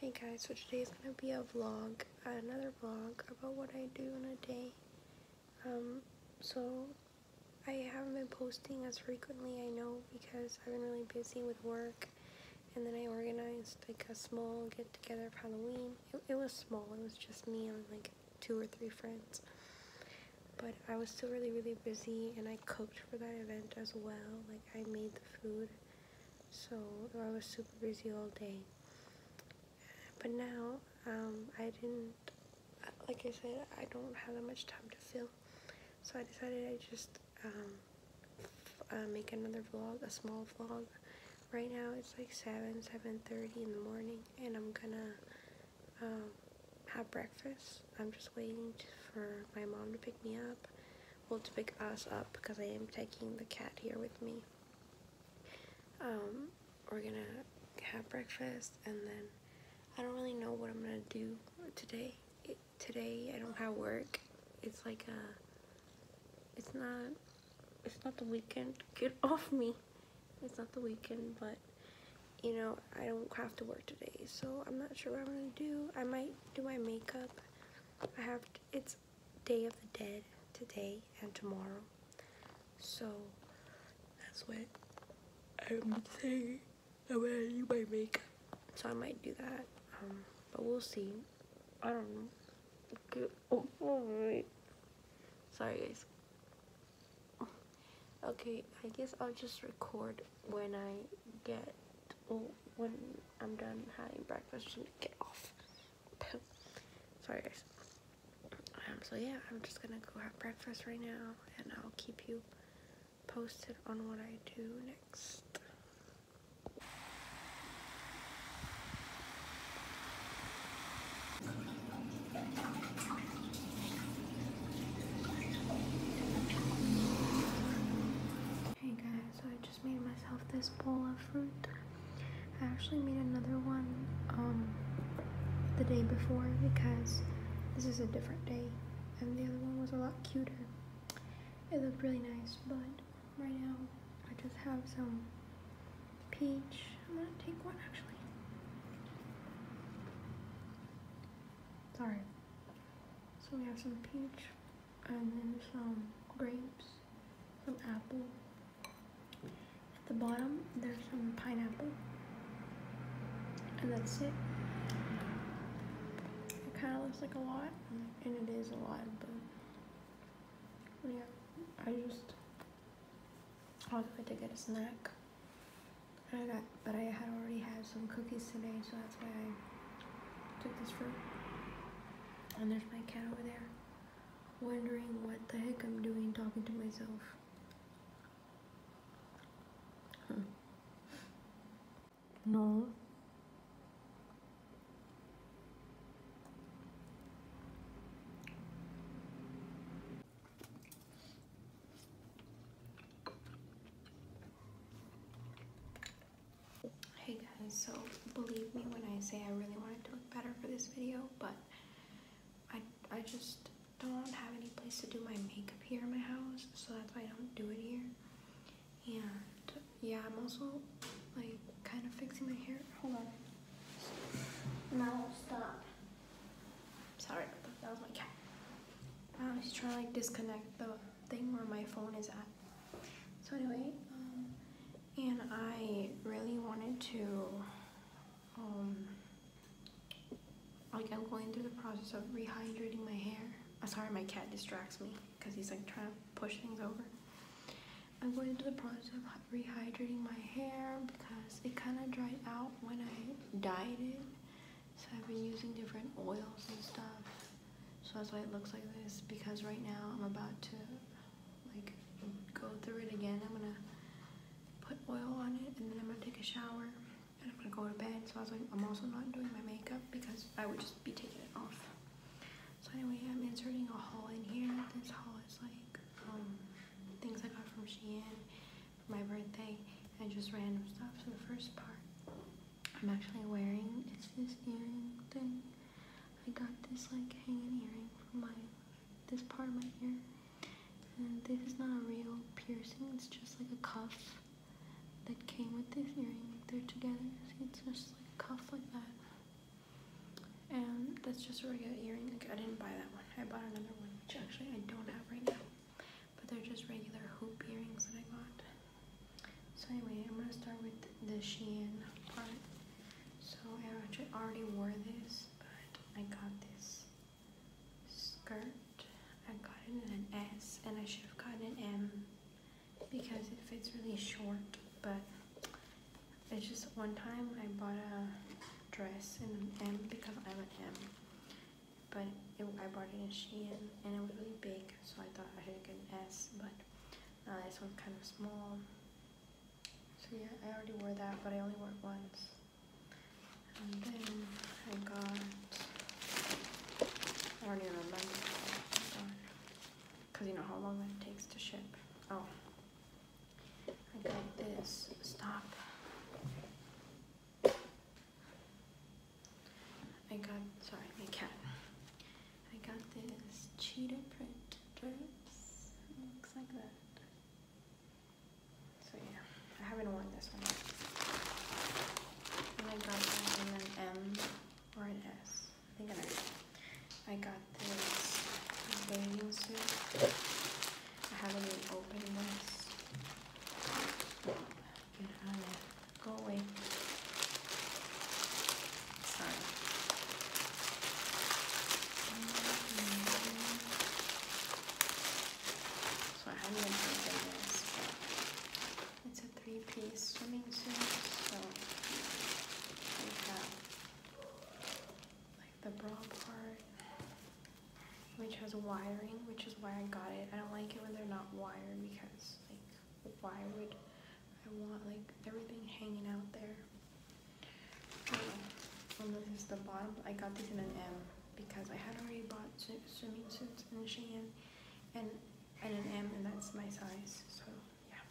Hey guys, so today is going to be a vlog, another vlog about what I do in a day. Um, so I haven't been posting as frequently, I know, because I've been really busy with work. And then I organized like a small get-together for Halloween. It, it was small, it was just me and like two or three friends. But I was still really, really busy and I cooked for that event as well. Like I made the food so I was super busy all day. But now, um, I didn't, like I said, I don't have that much time to fill, so I decided I just um, uh, make another vlog, a small vlog. Right now it's like 7, 7.30 in the morning, and I'm gonna um, have breakfast. I'm just waiting for my mom to pick me up will pick us up because I am taking the cat here with me. Um, we're gonna have breakfast and then I don't really know what I'm gonna do today. today I don't have work. It's like a, uh, it's not, it's not the weekend. Get off me. It's not the weekend, but you know, I don't have to work today. So I'm not sure what I'm gonna do. I might do my makeup I have it's Day of the Dead today and tomorrow, so that's what I'm saying. I'm gonna do my makeup, so I might do that. Um, but we'll see. I don't know. Okay. Oh, Sorry, guys. Okay, I guess I'll just record when I get, oh, when I'm done having breakfast and get off. Sorry guys. Um, so yeah, I'm just gonna go have breakfast right now and I'll keep you posted on what I do next. Hey guys so I just made myself this bowl of fruit. I actually made another one um, the day before because this is a different day and the other one was a lot cuter. It looked really nice, but right now I just have some peach. I'm gonna take one actually. Sorry. So we have some peach and then some grapes, some apple. At the bottom, there's some pineapple, and that's it. It kind of looks like a lot, and it is a lot, but yeah, I just, I was going to get a snack, I got but I had already had some cookies today, so that's why I took this fruit. And there's my cat over there, wondering what the heck I'm doing talking to myself. No. Hey guys, so believe me when I say I really wanted to look better for this video, but I, I just don't have any place to do my makeup here in my house, so that's why I don't do it here. And yeah, I'm also like kind of fixing my hair. Hold on. Now stop. Sorry, that was my cat. Um, she's trying to like disconnect the thing where my phone is at. So anyway, um, and I really wanted to, um, like I'm going through the process of rehydrating my hair. I'm uh, sorry, my cat distracts me because he's like trying to push things over. I'm going through the process of rehydrating my hair because it kind of dried out when I dyed it. So I've been using different oils and stuff. So that's why it looks like this because right now I'm about to like go through it again. I'm gonna put oil on it and then I'm gonna take a shower and I'm gonna go to bed. So I was like, I'm also not doing my makeup because I would just be taking it off. So anyway, I'm inserting a haul in here. This haul is like um, things I got from Shein for my birthday and just random stuff. for the first part, I'm actually wearing, it's this earring thing. I got this like hanging earring from my, this part of my ear. And this is not a real piercing, it's just like a cuff that came with this earring. Like They're together, it's just like a cuff like that. And that's just a regular earring, like I didn't buy that one. I bought another one, which actually I don't have right now but they're just regular hoop earrings that I got. So anyway, I'm gonna start with the Shein part. So I actually already wore this, but I got this skirt. I got it in an S, and I should have got an M because it fits really short, but it's just one time I bought a dress in an M because I'm an M but I bought it in Shein and it was really big so I thought I should get an S but uh, this one's kind of small so yeah I already wore that but I only wore it once and then I got I don't even remember because you know how long that takes to ship oh I got this stop I got, sorry, my cat. I got this cheetah print dress. It looks like that. So yeah, I haven't worn this one yet. And I got that in an M or an S. I think an S. I got this bathing suit. I haven't even opened this. Get out of there. Go away. Sorry. So I haven't been thinking this, it's a three-piece swimming suit, so like the bra part, which has wiring, which is why I got it. I don't like it when they're not wired because, like, why would I want, like, everything hanging out there? Oh, this is the bottom. I got this in an M because I had already bought swimming suits in Shein and, and an M, and that's my size, so yeah.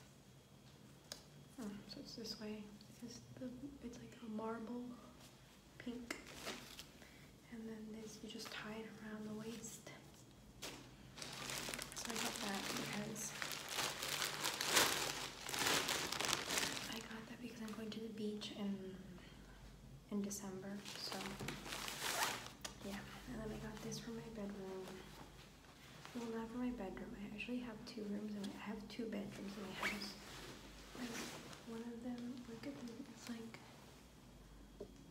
Hmm, so it's this way. it's like a marble pink. And then this, you just tie it around the waist. So I got that because I got that because I'm going to the beach in in December. So yeah, and then I got this for my bedroom. Well, not for my bedroom. I actually have two rooms and I have two bedrooms in my house. Like one of them, look at them. It's like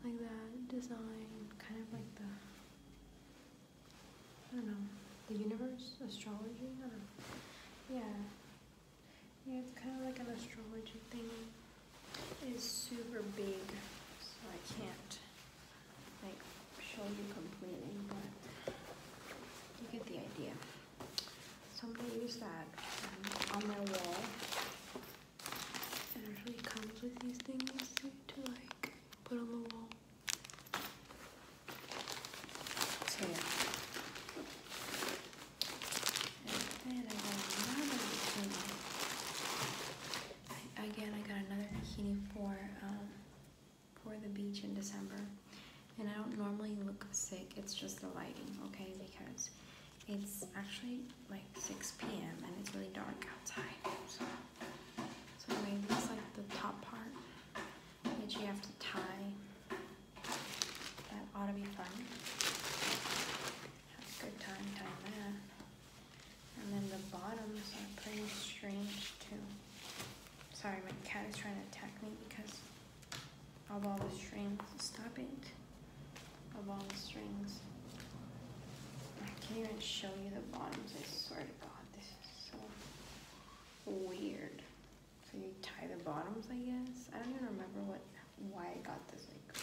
like that design, kind of like the I don't know, the universe, astrology. Yeah, yeah, it's kind of like an astrology thing. It's super big, so I can't like show you completely, but you get the idea. Somebody i use that on their wall. It usually comes with these things to like put on the wall. So And I got another bikini. again, I got another bikini for um, for the beach in December and I don't normally look sick, it's just the lighting, okay? Because it's actually like 6 p.m. and it's really dark outside. So, so anyway, this is like the top part, which you have to tie. That ought to be fun. Have a good time tying that. And then the bottoms are pretty strange too. Sorry, my cat is trying to attack me because of all the strings. Stop it. Of all the strings. I can't even show you the bottoms. I swear to God, this is so weird. So you tie the bottoms, I guess. I don't even remember what why I got this. Like,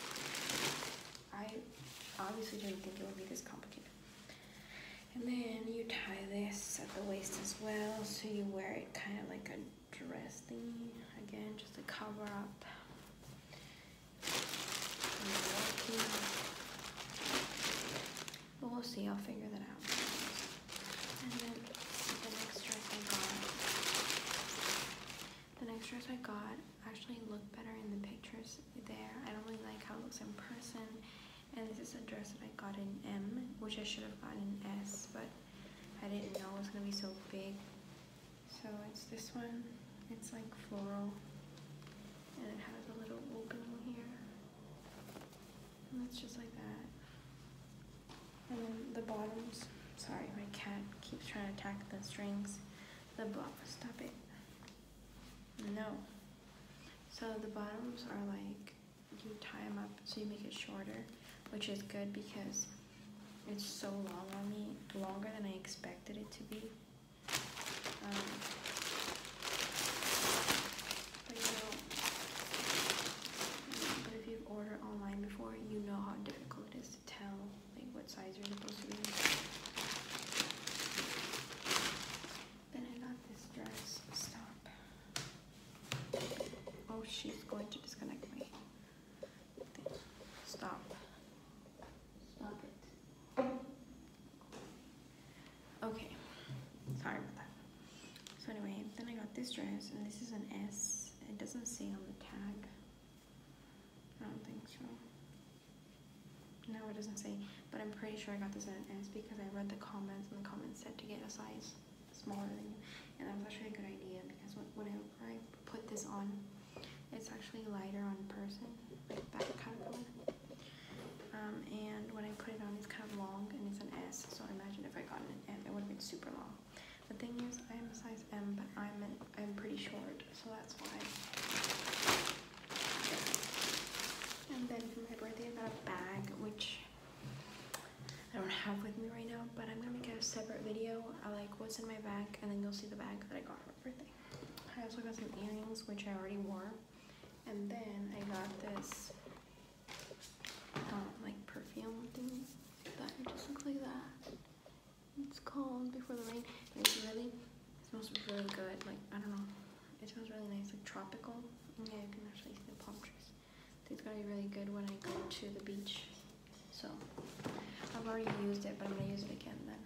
I obviously didn't think it would be this complicated. And then you tie this at the waist as well, so you wear it kind of like a dress again just to cover up but we'll see I'll figure that out and then the next dress I got the next dress I got actually looked better in the pictures there I don't really like how it looks in person and this is a dress that I got in M which I should have gotten in S but I didn't know it was gonna be so big. So it's this one. It's like floral. And it has a little opening here. And it's just like that. And then the bottoms. Sorry, my cat keeps trying to attack the strings. The bottom, stop it. No. So the bottoms are like you tie them up so you make it shorter, which is good because it's so long on me, longer than I expected it to be. Um, but you know, but if you've ordered online before, you know how difficult it is to tell like what size you're supposed to be. Then I got this dress. Stop. Oh, she's going to disconnect me. Stop. Stop it. Okay. Sorry about that. So anyway, then I got this dress, and this is an S. It doesn't say on the tag. I don't think so. No, it doesn't say. But I'm pretty sure I got this at an S because I read the comments, and the comments said to get a size smaller than you. And that's actually a good idea because whenever I put this on, it's actually lighter on person, like that kind of color. Um, and when I put it on, it's kind of long and it's an S, so I imagine if I got an M, it would have been super long. The thing is, I am a size M, but I'm, I'm pretty short, so that's why. And then for my birthday, I got a bag, which I don't have with me right now, but I'm gonna make a separate video. I like what's in my bag, and then you'll see the bag that I got for my birthday. I also got some earrings, which I already wore, and then I got this um, like perfume thing that just looks like that. It's called Before the Rain. It's really it smells really good. Like I don't know, it smells really nice, like tropical. Yeah, you can actually see the palm trees it's gonna be really good when I go to the beach. So I've already used it, but I'm gonna use it again then.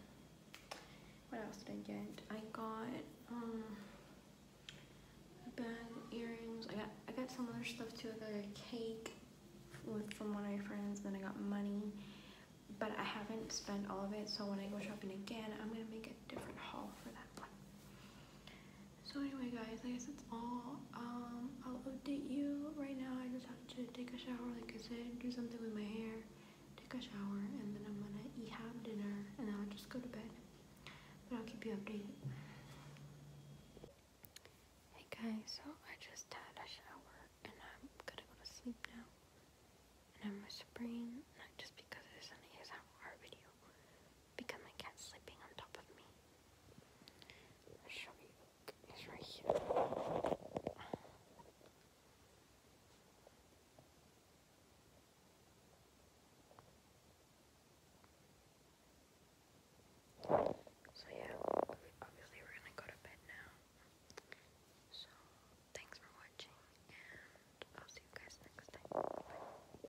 What else did I get? I got um band earrings. I got I got some other stuff too. I got a cake from one of my friends. Then I got money, but I haven't spent all of it. So when I go shopping again, I'm gonna make a different haul for that one. So anyway guys, I guess that's all. Um, I'll update you right now. I just have to take a shower, like I said, do something with my hair, take a shower, and then I'm gonna eat, have dinner, and then I'll just go to bed. But I'll keep you updated. Hey guys, so I just had a shower, and I'm gonna go to sleep now. And I'm just whispering, not just because this is an ASMR video, because my cat's sleeping on top of me. I'll So yeah, obviously we're gonna go to bed now. So thanks for watching and I'll see you guys next time.